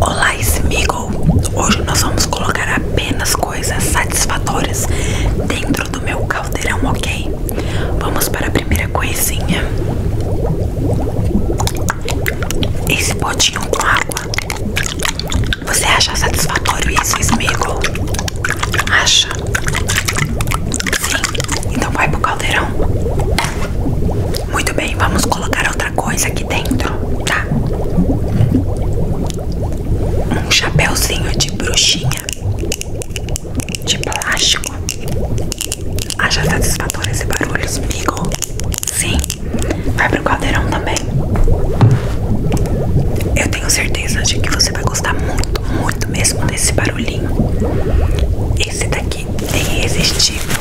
Olá, Smigo! Hoje nós vamos colocar apenas coisas satisfatórias dentro do meu caldeirão, ok? Vamos para a primeira coisinha. Esse potinho com água. Você acha satisfatório isso, Smigo? Acha? Sim? Então vai pro caldeirão. Muito bem, vamos colocar outra coisa aqui dentro, tá? Um chapéuzinho de bruxinha de plástico. Acha satisfatório tá e barulhos, amigo? Sim, vai pro caldeirão também. Eu tenho certeza de que você vai gostar muito, muito mesmo desse barulhinho. Esse daqui look irresistível.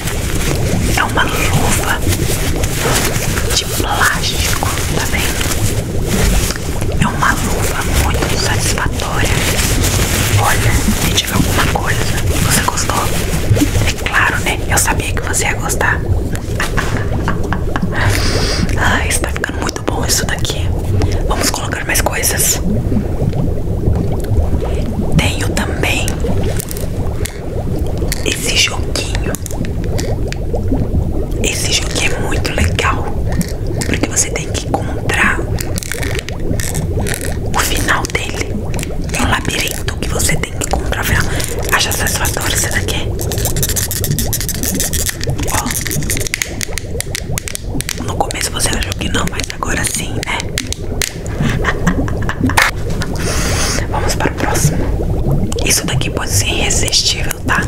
É uma luva de plástico, tá vendo? É uma luva muito satisfatória. Olha, me diga alguma coisa. Você gostou? É claro, né? Eu sabia que você ia gostar. Ai, está ficando muito bom isso daqui. Vamos colocar mais coisas. Tenho também esse joguinho Esse joguinho é muito legal Porque você tem que encontrar O final dele É um labirinto que você tem que encontrar o final Acha satisfatório essa daqui é? Ó No começo você achou que não Mas agora sim, né Vamos para o próximo. Isso daqui pode ser irresistível, tá?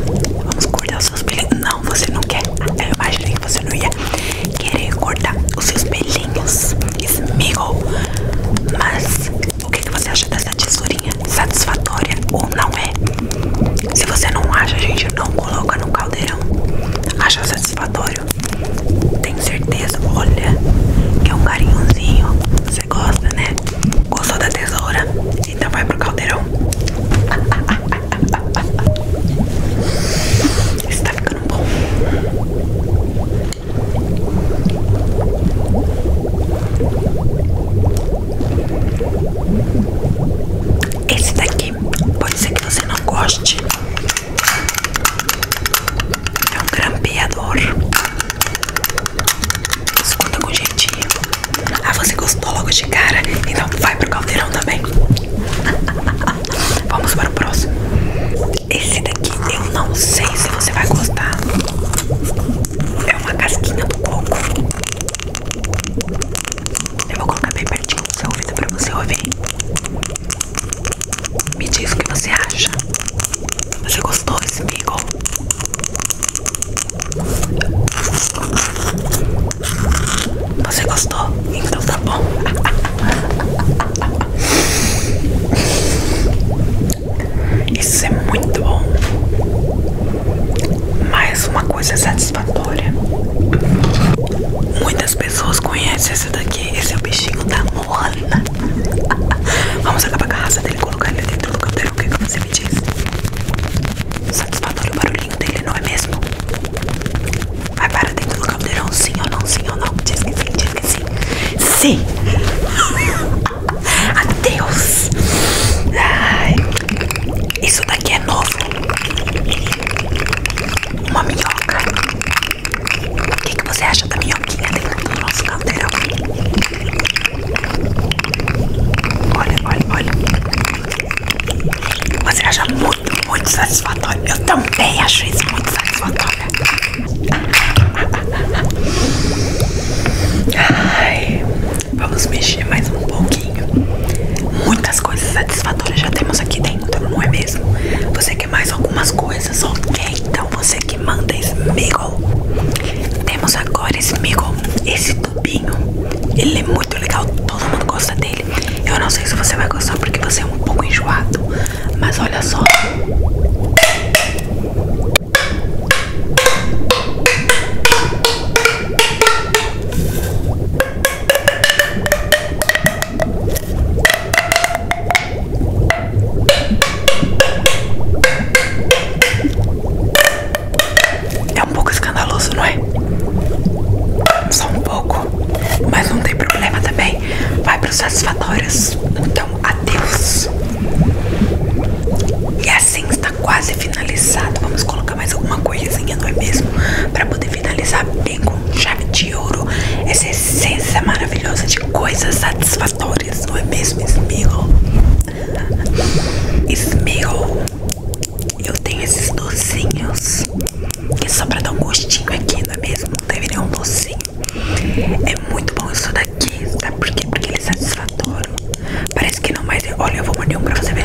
Vamos cortar os seus pelinhos. Não, você não quer. Eu imaginei que você não ia querer cortar os seus pelinhos. Esmigo. Mas o que, que você acha dessa tesourinha? Satisfatória ou não é? Se você não acha, a gente, não coloca no caldeirão. Acha satisfatório? claro. Tenho certeza, olha, que é um carinhozinho. Você gosta, né? Gostou da tesoura? Então vai pro caldeirão. Isso tá ficando bom. Esse daqui pode ser que você não goste, é um grampeador. Escuta com jeitinho. Ah, você gostou logo de cara? Então vai pro caldeirão também. Vamos para o próximo. Esse daqui eu não sei se você vai gostar. É uma casquinha do coco. Eu vou colocar bem pertinho do seu ouvido pra você ouvir. Me diz o que você acha. Você gostou desse Beagle? Você gostou? Então tá bom. Isso é muito bom. Mais uma coisa satisfatória. Muitas pessoas conhecem esse daqui esse é o bichinho da mona. Vamos acabar com a raça dele e colocar ele dentro do canteiro. O que, que você me diz? Satisfatório o barulhinho dele, não é mesmo? Vai para dentro do caldeirão, sim ou não, sim ou não? Diz que sim, diz que sim. Sim! Adeus! Ai, isso daqui é novo. Uma minhoca. O que, você acha da minha minhoquinha dentro do nosso caldeirão? Olha, olha, olha. Você acha muito, muito satisfatório. Eu também acho isso muito satisfatório. Ai, vamos mexer mais um pouquinho. Muitas coisas satisfatórias já temos aqui dentro, não é mesmo? Você mais algumas coisas, ok? Então você que manda Smiggle. Temos agora Smiggle, esse tubinho. Ele é muito legal, todo mundo gosta dele. Eu não sei se você vai gostar porque você é um pouco enjoado, mas olha só. É um pouco escandaloso, não é? Só um pouco, mas não tem problema também. Vai para os satisfatórios. Então, adeus. E assim está quase finalizado. Vamos colocar mais alguma coisinha, não é mesmo? Para poder finalizar tem com chave de ouro essa essência maravilhosa de coisas satisfatórias, não é mesmo, Smiggle? Smiggle, eu tenho esses docinhos que só pra dar um gostinho aqui, não é mesmo? Deve teve um docinho. É muito bom isso daqui, sabe por quê? Porque ele é satisfatório. Parece que não, mais. olha, eu vou morder um pra você ver.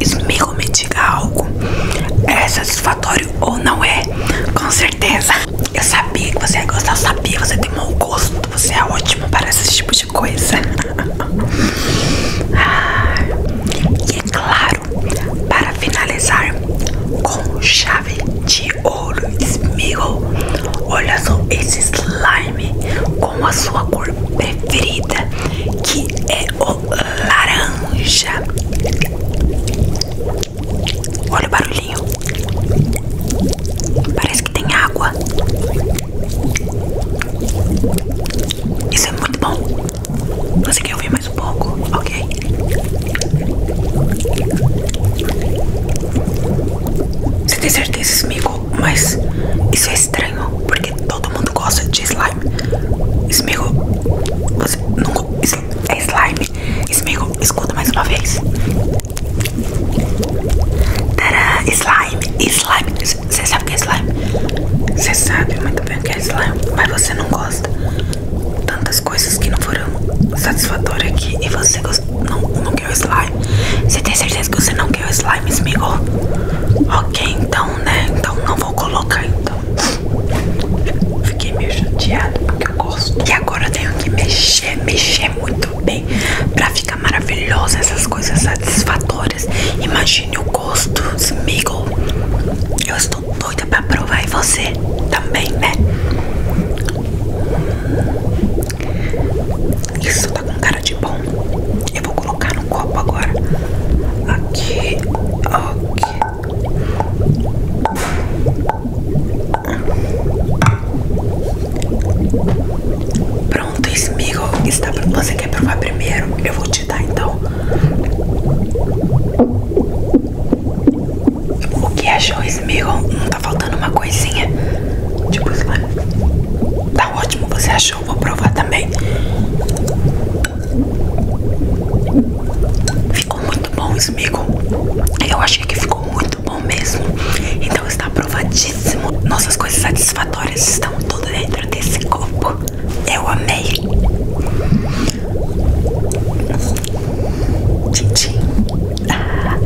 Isso me diga algo. É satisfatório ou não é? Com certeza. Eu sabia que você ia gostar, sabia você tem mau gosto. Você é ótimo para esse tipo de coisa. E é claro, para finalizar com chave de ouro, esmigo. Olha só esse slime com a sua cor preferida, que é o laranja. Olha o barulhinho. Parece que tem água. Isso é muito bom. Você quer ouvir mais um pouco? Ok. Você tem certeza, amigo? Mas isso é estranho, porque todo mundo gosta de slime. Esmigo, você nunca. É slime. Esmigo, escuta mais uma vez. Tadá, slime, slime. Você sabe o que é slime? Você sabe muito bem o que é slime, mas você não gosta. Tantas coisas que não foram satisfatórias aqui e você gosta. Não, quer o slime? Você tem certeza que você não quer o slime, Smigol? Ok, então, né? Então não vou colocar, então. Fiquei meio chateada porque eu gosto. E agora eu tenho que mexer, mexer muito bem pra ficar maravilhosa essas coisas satisfatórias. Imagine o gosto, Smigol. Eu estou doida pra provar e você também, né? Isso tá com cara de bom. Eu vou colocar no copo agora. Aqui, ok. Pronto, Smeagol está pra... Você quer provar primeiro? Eu vou te dar então. O que achou, Smeagol? Não hum, tá faltando uma coisinha? Tipo, Tá ótimo, você achou? Vou provar também. Ficou muito bom, Smigo. Eu achei que ficou muito bom mesmo. Então está aprovadíssimo. Nossas coisas satisfatórias estão todas dentro desse copo. Eu amei. Tchim, tchim. Ah.